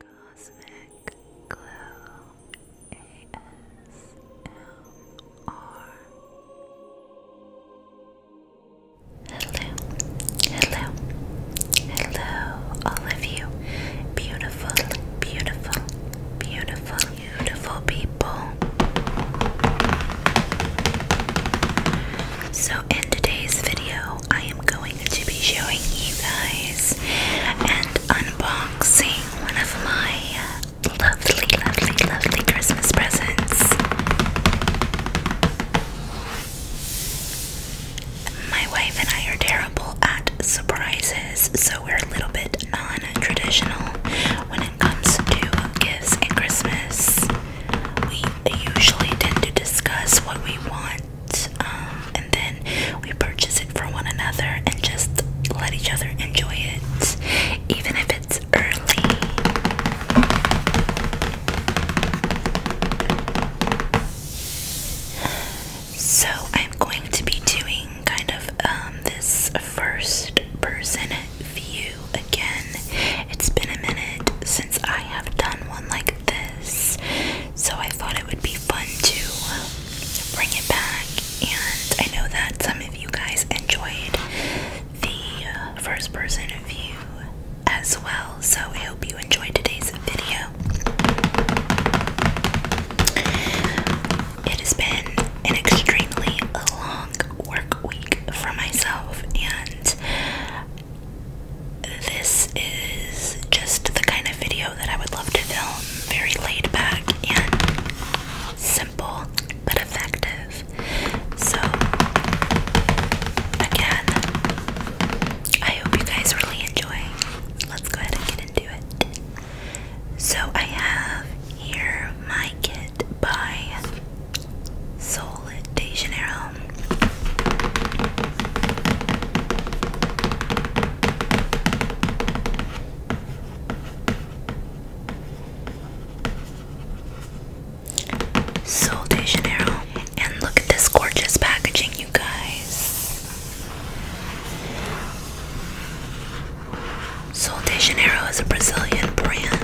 Cosmic Glow Hello, hello, hello, all of you beautiful, beautiful, beautiful, beautiful people. So, in today's video, I am going to be showing you guys and unboxing one of my lovely, lovely, lovely Christmas presents. My wife and I are terrible at surprises, so we're a little bit non traditional when it comes to gifts and Christmas we usually tend to discuss what we want um, and then we purchase it for one another and just let each other enjoy it, even if it's early. So, I'm going to be doing kind of um, this first person view again. It's been a minute, I have done one like this, so I thought it would be fun to bring it back. And I know that some of you guys enjoyed the uh, first person view as well, so I hope you enjoyed today's video. It has been an extremely long work week for myself, and this is just the kind of video that I would love to film. Very laid back and simple but effective. So, again, I hope you guys really enjoy. Let's go ahead and get into it. So, I have here my kit by Sol de Janeiro. Sol de Janeiro. And look at this gorgeous packaging, you guys. Sol de Janeiro is a Brazilian brand.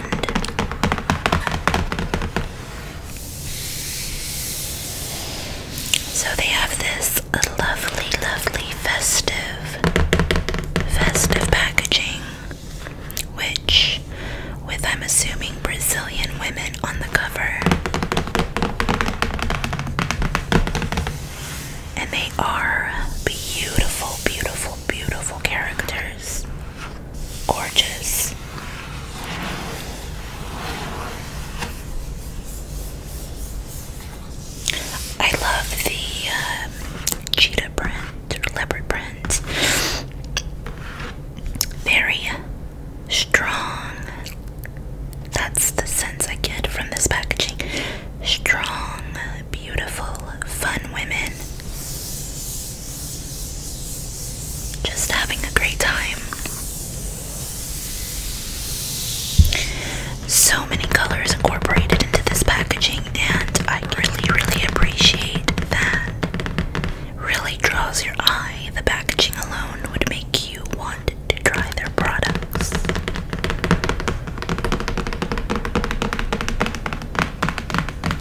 So they have this lovely, lovely festive, festive packaging, which, with I'm assuming Brazilian women on the cover, and they are beautiful, beautiful, beautiful characters gorgeous. I love the um, cheetah print or leopard print. Very strong. That's the sense I get from this packaging. Strong, beautiful, fun women. Just having a great time. So many colors incorporated into this packaging, and I really, really appreciate that. Really draws your eye. The packaging alone would make you want to try their products.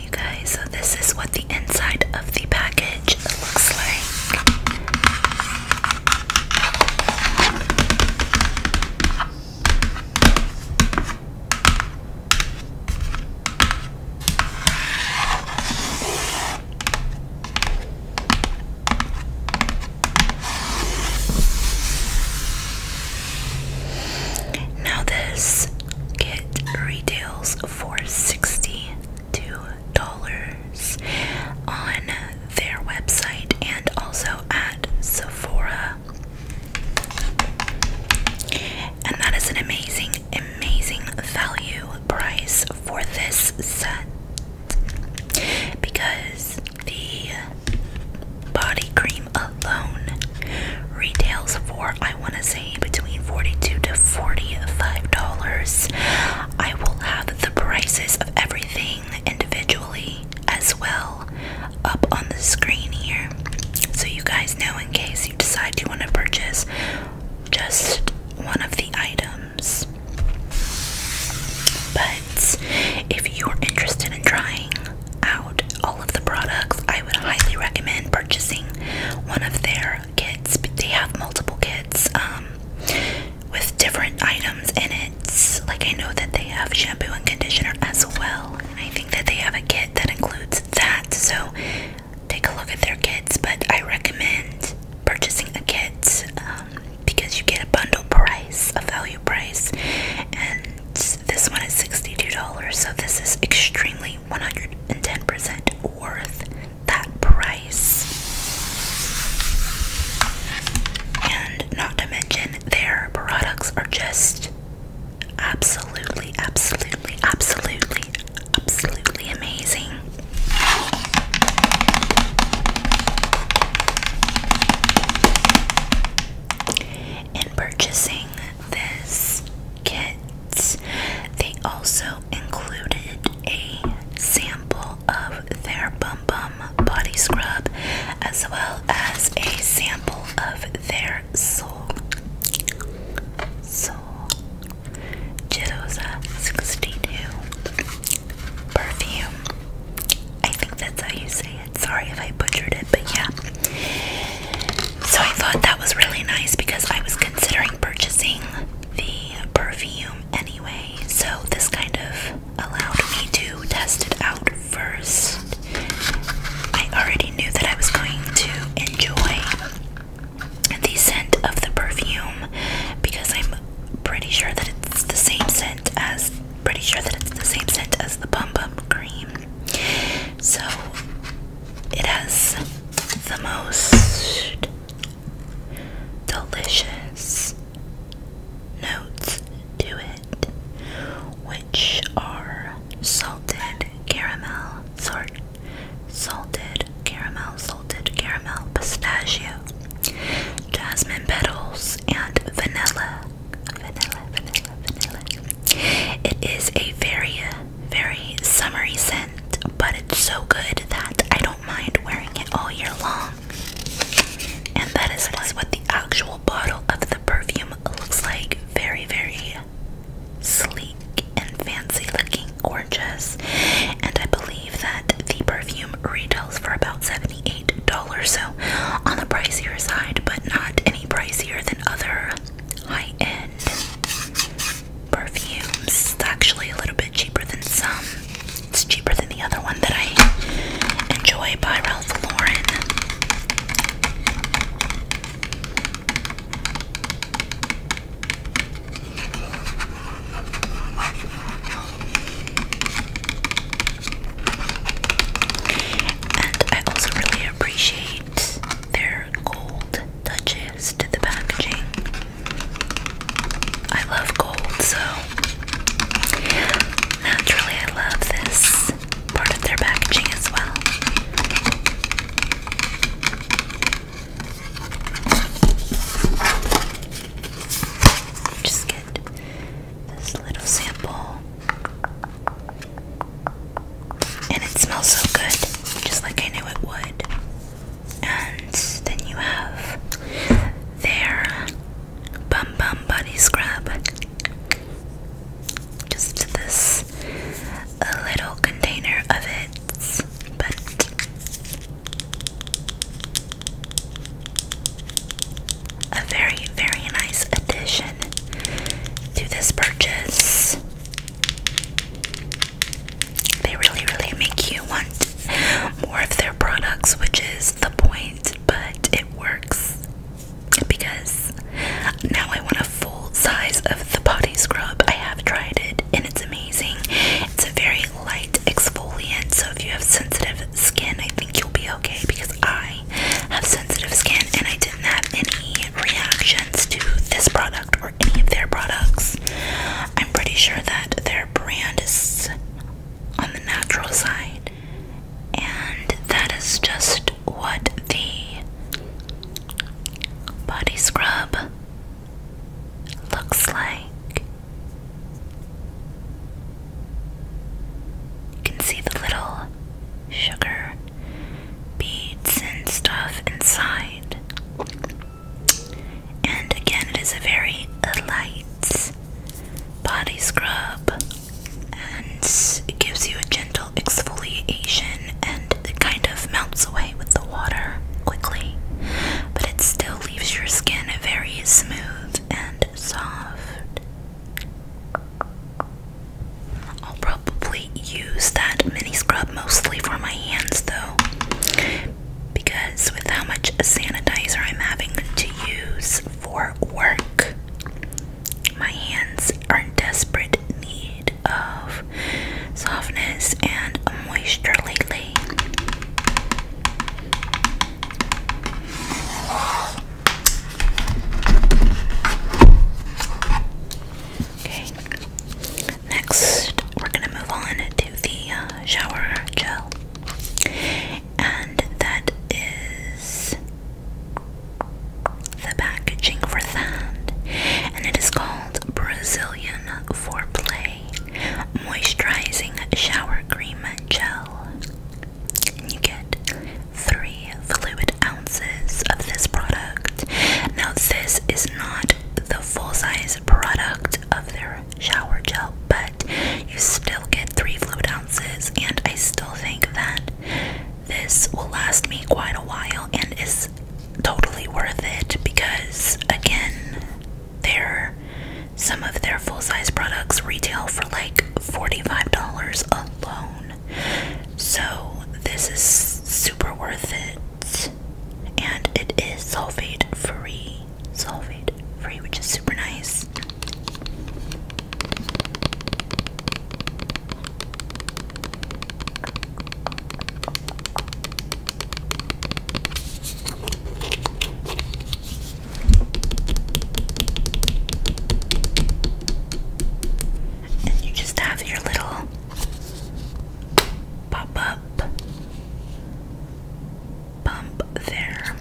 Okay, guys, so this is what the inside of the package looks like. Now, this kit retails for $62 on their website and also at Sephora. And that is an amazing, amazing value price for this set because the body cream alone Retails for I want to say between forty-two to forty-five dollars. I will have the prices of everything individually as well up on the screen here, so you guys know in case you decide you want to purchase just one of the items. But if you're interested in trying out of the products. I would highly recommend purchasing one of their kits. They have multiple kits um, with different items in it. Like I know that they have shampoo and conditioner as well. I think that they have a kit that includes that. So take a look at their kits. But I recommend purchasing a kit um, because you get a bundle price, a value price, and this one is $62. So this is extremely 110% worth that price. And not to mention, their products are just absolutely, absolutely, absolutely, absolutely amazing. In purchasing this kits. They also included a sample of their Bum Bum body scrub as well as a sample of their Soul Soul Jidosa 62 perfume. I think that's how you say it. Sorry if I butchered it, but yeah. So I thought that was really nice because I was considering purchasing the perfume anyway. So this kind of allowed me to test it out first. I already knew that I was going to enjoy the scent of the perfume because I'm pretty sure that it's the same scent as pretty sure that it's the same scent as the Bum Bum cream. So it has the most delicious notes to it, which are salted caramel, sort salted caramel, salted caramel, pistachio, jasmine petals, and vanilla. Vanilla, vanilla, vanilla. It is a very, very summery scent, but it's so good that I don't mind wearing it all year long. And that is, that is what the actual bottle of the perfume looks like. Very, very sleek and fancy looking, gorgeous. And I believe that the perfume retails for about $78, so on the pricier side, but not any pricier than other high-end perfumes. actually a little bit cheaper than some. It's cheaper than the other one that I enjoy by Ralph Lauren. And I also really appreciate their gold touches to the packaging. I love gold, so naturally I love this part of their packaging as well. Just get this little sample and it smells so good, just like I knew it would. And then you have their Bum Bum Body Scrub. Just this a little container of it, but a very, very nice addition to this purchase. They really, really make you want more of their products, which is the point, but it works because now I want a full size of the body scrub. I have tried it and it's amazing. It's a very light exfoliant, so if you have sensitive skin, I think you'll be okay because I have sensitive skin and I didn't have any reactions to this product or any of their products. I'm pretty sure that their brand is on the natural side, and that is just what the body scrub looks like. You can see the little sugar beads and stuff inside. And again, it is a very light body scrub and it gives you a gentle exfoliation and it kind of melts away with the water quickly, but it still leaves your skin very smooth and soft. I'll probably use that mini scrub mostly for my hands though, because with how much sanitizer I'm having to use for work, my hands are in desperate need of softness and moisture lately. Okay. Next, we're gonna move on to the uh, shower gel, and that is the packaging for that, and it is called Brazilian Foreplay Moisturizing Shower Cream Gel. And you get three fluid ounces of this product. Now, this is not the full size product of their shower gel, but you still get three fluid ounces, and I still think that this will last me quite a while and is totally worth it because, again, their some of their full size products retail for like $45 alone. So this is super worth it. And it is sulfate free. Sulfate free, which is super nice and you just have your little pop up bump there.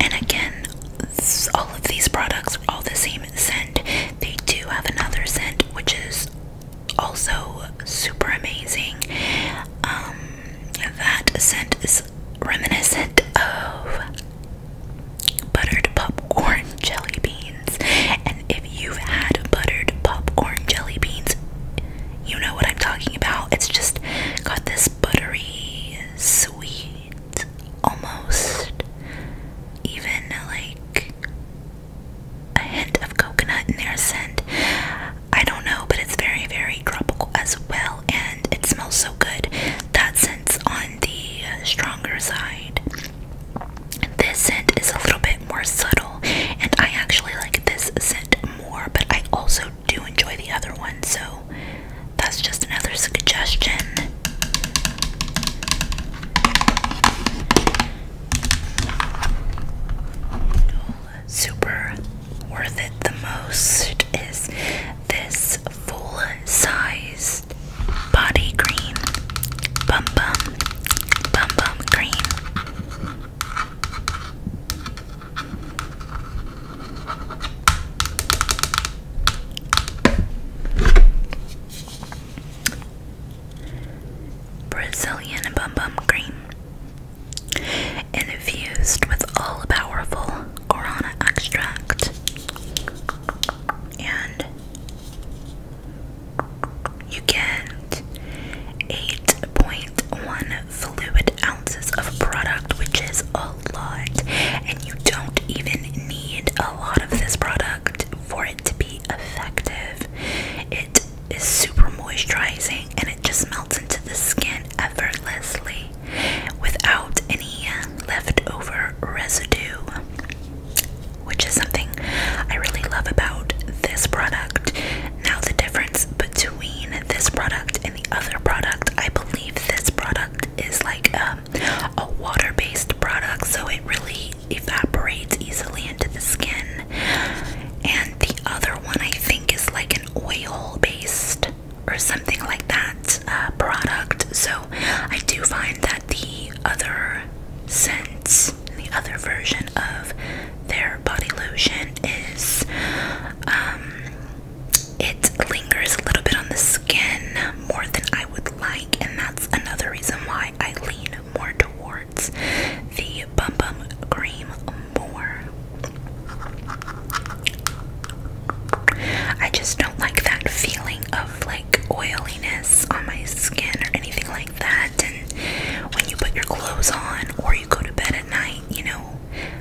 And again, all of these products are all the same scent. They do have another scent, which is also super amazing. Um, that scent is reminiscent of buttered popcorn jelly beans, and if you've had buttered popcorn jelly beans, you know what I'm talking about. It's just got this buttery, sweet, almost even like a hint of coconut in their scent. I don't know, but it's very, very tropical as well, and it smells so good. That scent's on the stronger side. This scent is a little bit more subtle, and I actually like this scent more, but I also do enjoy the other one, so that's just another suggestion. Super worth it the most is this full sized body cream. Bum bum. Bum bum cream. Brazilian Bum Bum Cream. Infused with all powerful guarana extract and you get 8.1 fluid ounces of product, which is a lot, and you don't even need a lot of this product for it to be effective. It is super moisturizing and it just melts into the skin effortlessly without any uh, leftover residue, which is something I really love about this product. Now, the difference between this product and the other product, I believe this product is like um, a water based product, so it really evaporates easily into the skin. And the other one, I think, is like an oil based or something like that uh, product. So I do find that the other scent, the other version of their body lotion is um, it lingers a little bit on the skin more than I would like and that's another reason why I lean more towards the Bum Bum Cream more. I just don't like that feeling of like oiliness on my skin or anything like that. And when you put your clothes on or you go to bed at night, you know,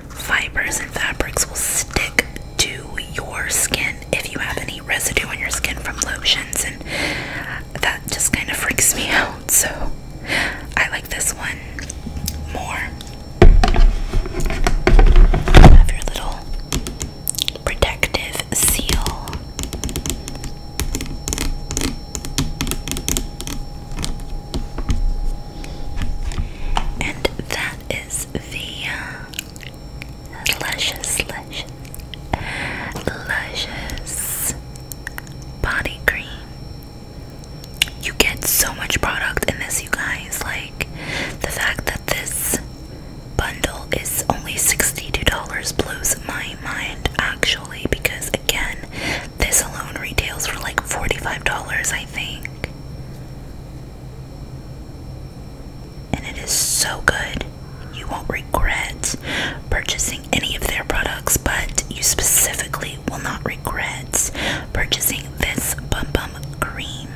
fibers and fabrics will stick to your skin if you have any residue on your skin from lotions. And that just kind of freaks me out. So I like this one more. have your little protective seal. And that is the uh, luscious, luscious, luscious body cream. You get so much product in this, you guys. Like the fact that this bundle is only $62 blows my mind actually because again this alone retails for like $45 I think and it is so good. You won't regret purchasing any of their products, but you specifically will not regret purchasing this Bum Bum Cream.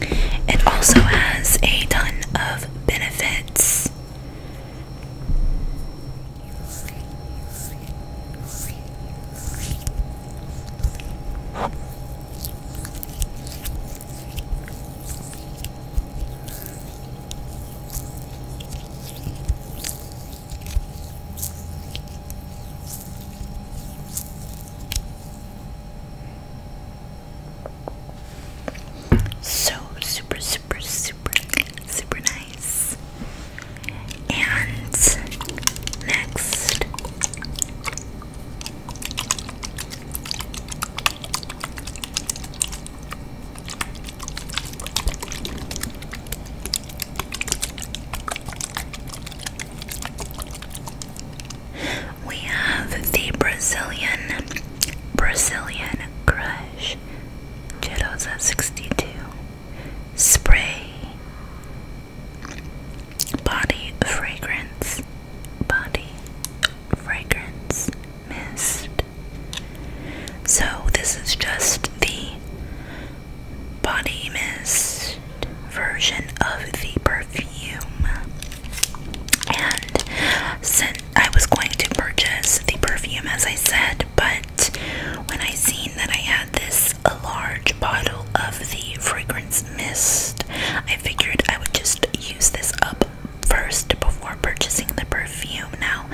It also has a ton of benefits. So super, super, super, super nice. And next, we have the Brazilian Brazilian Crush Cheetos at 62 Spray Body fragrance, body fragrance mist. So, this is just the body mist version of the perfume. And since I was going to purchase the perfume, as I said, but when I seen that I had this a large bottle of the fragrance mist. I figured I would just use this up first before purchasing the perfume. Now,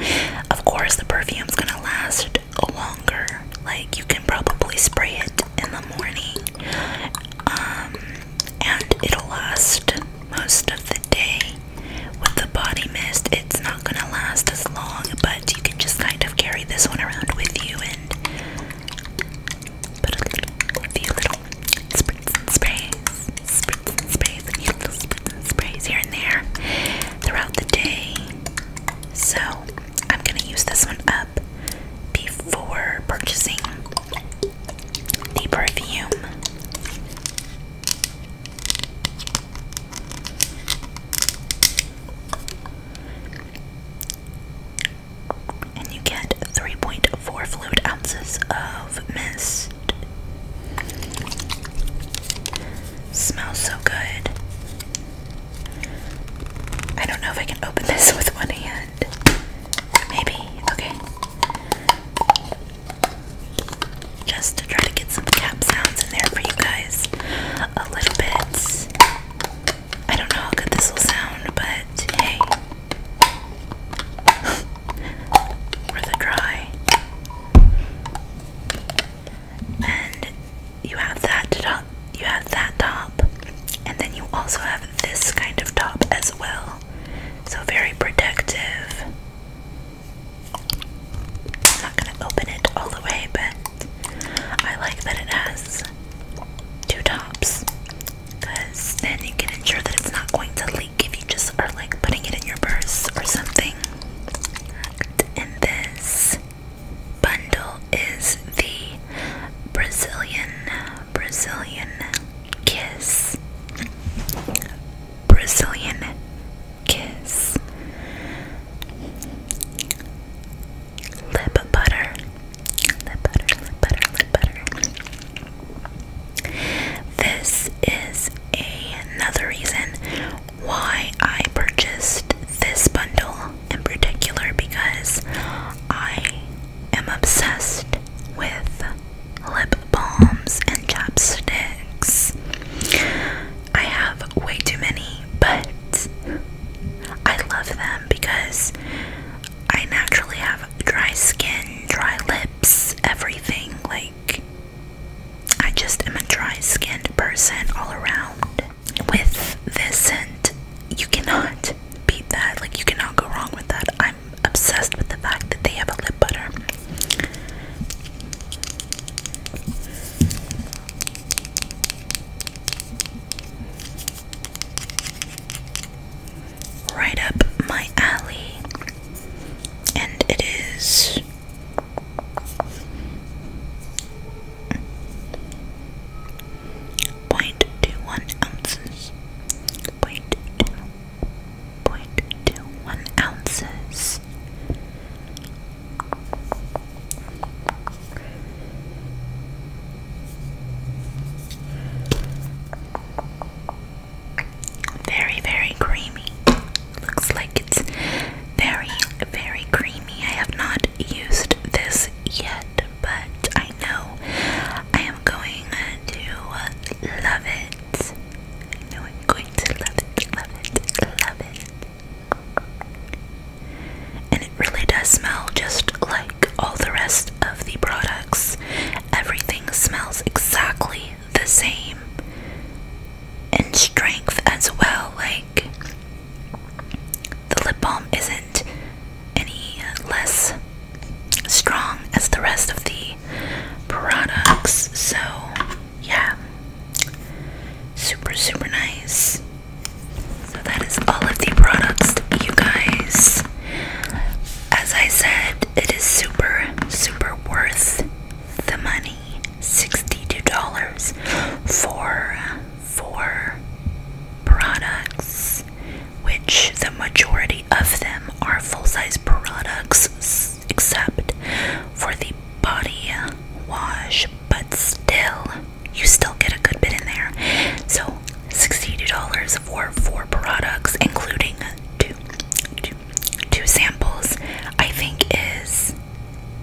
of course, the perfume's gonna last longer. Like, you can probably spray it in the morning, um, and it'll last most of the day. With the body mist, it's not gonna last as long, but you can just kind of carry this one around with you and but a little, a few little spritz and sprays, spritz and sprays, a few little spritz and sprays here and there throughout the day. So I'm gonna use this one up before purchasing the perfume and you get 3.4 fluid ounces of mist. Smells so good. I don't know if I can open this with one hand. Maybe. Okay. Just to try to get some cap sounds in there for you guys. A little bit. I don't know how good this will sound, but hey or the dry. And you have that top, you have that top, and then you also have this kind of top as well. So very protective. I'm not gonna open it all the way, but I like that it has two tops because then you can ensure that it's not going to leak if you just are like putting it in your purse or something. And this bundle is the Brazilian Brazilian Kiss. Brazilian Kiss lip butter. Lip butter, lip butter, lip butter. This is another reason why I purchased this bundle in particular because I am obsessed with lip balms and chapsticks. I have way too many, but I love them because I naturally have dry skin, dry lips, everything. Like, I just am a dry skinned person all around. With this scent, you cannot beat that. Like, you cannot go wrong with that. I'm obsessed with the fact that they have a lip butter right up my alley, and it is point two one ounces. Point two point two one ounces. Very, very creamy. Looks like it's very, very creamy. I have not used this yet, but I know I am going to love it. I am going to love it, love it, love it. And it really does smell just like all the rest of the products. Everything smells exactly the same. in strength as well. Like, the lip balm isn't any less strong as the rest of the products. So, yeah. Super, super nice. So that is all of the products, you guys. As I said, it is super, super worth the money. $62 for four products, which the majority of them are full-size products except for the body wash, but still you still get a good bit in there. So $62 for four products, including two samples, I think is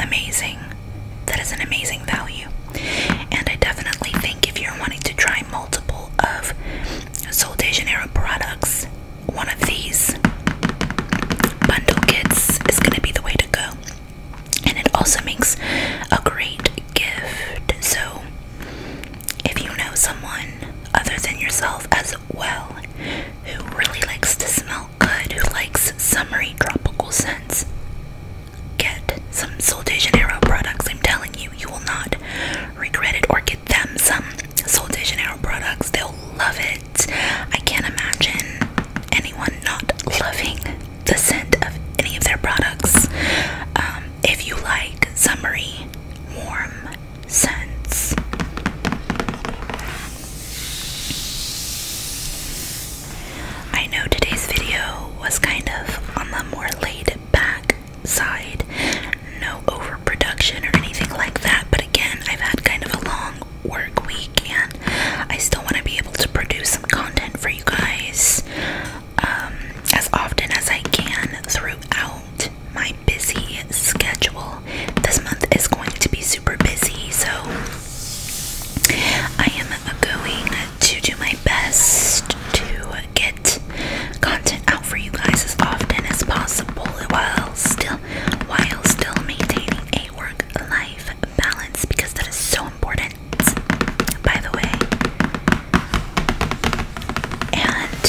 amazing. That is an amazing value. And I definitely think if you're wanting to try multiple of Sol products, one of these bundle kits is going to be the way to go and it also makes a great gift. So, if you know someone other than yourself as well who really likes to smell good, who likes summery tropical scents, get some Sol de Janeiro products. I'm telling you, you will not regret it. Or get them some Sol de Janeiro products, they'll love it. I can't imagine anyone not loving the scent of any of their products. Um, if you like summery, warm scents. I know today's video was kind of on the more laid back side, no overproduction or anything like that, but again, I've had kind of a long work week and I still want to be able to produce some content for you guys. Um, as often as I can throughout my busy schedule. This month is going to be super busy, so I am going to do my best to get content out for you guys as often as possible while still while still maintaining a work life balance because that is so important by the way. And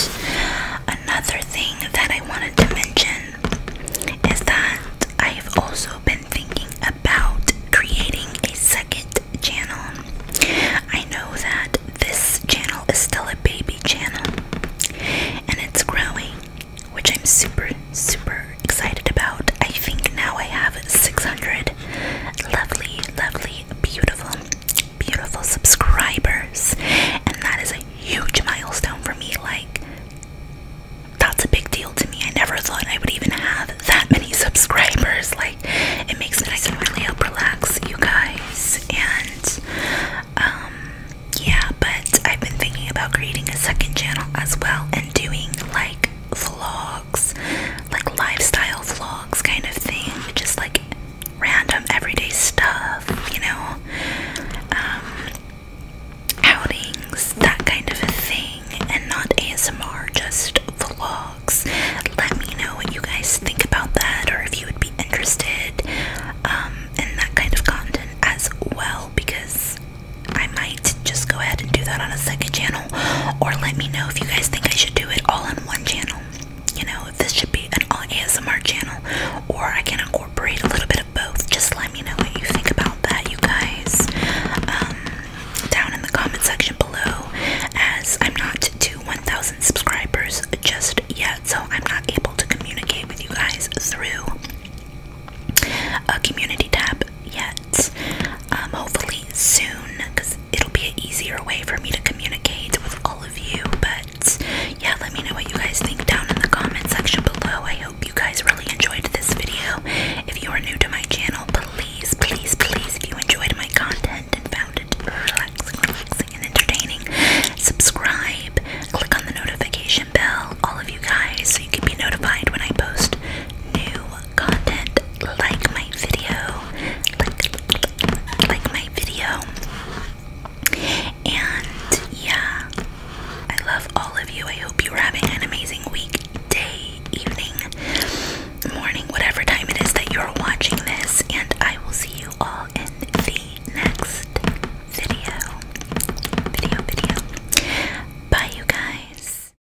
another thing that I wanted to mention is that I've also been thinking about creating a second channel. I know that this channel is still a baby channel and it's growing, which I'm super, super excited about. I think now I have 600 lovely, lovely, beautiful, beautiful subscribers. And that is a huge milestone for me. Like, that's a big deal to me. I never thought I would even have that many subscribers. Like, it makes me, nice and really help relax you guys. And, um, yeah, but I've been thinking about creating a second channel as well and doing like vlogs like lifestyle vlogs kind of thing, just like random everyday stuff, you know, um, outings, that kind of a thing, and not ASMR, just vlogs. Let me know what you guys think about that, or if you would be interested um, in that kind of content as well, because I might just go ahead and do that on a second channel or let me know if you guys think I should do it all on one channel. You know, if this should be an all ASMR channel, or I can incorporate a little bit of both. Just let me know what you think about that, you guys. Um, down in the comment section below, as I'm not to 1,000 subscribers just yet, so I'm not able to communicate with you guys through a community tab yet. Um, hopefully soon because it'll be an easier way for me to communicate with all of you but yeah let me know what you guys think down in the comment section below I hope you guys really enjoyed this video if you are new to my channel please please please if you enjoyed my content and found it relaxing relaxing and entertaining subscribe click on the notification bell all of you guys so you can be notified when I post new content, like my video, like, my video. And yeah, I love all of you. I hope you are having an amazing week, day, evening, morning, whatever time it is that you're watching this. And I will see you all in the next video. Video, video. Bye, you guys.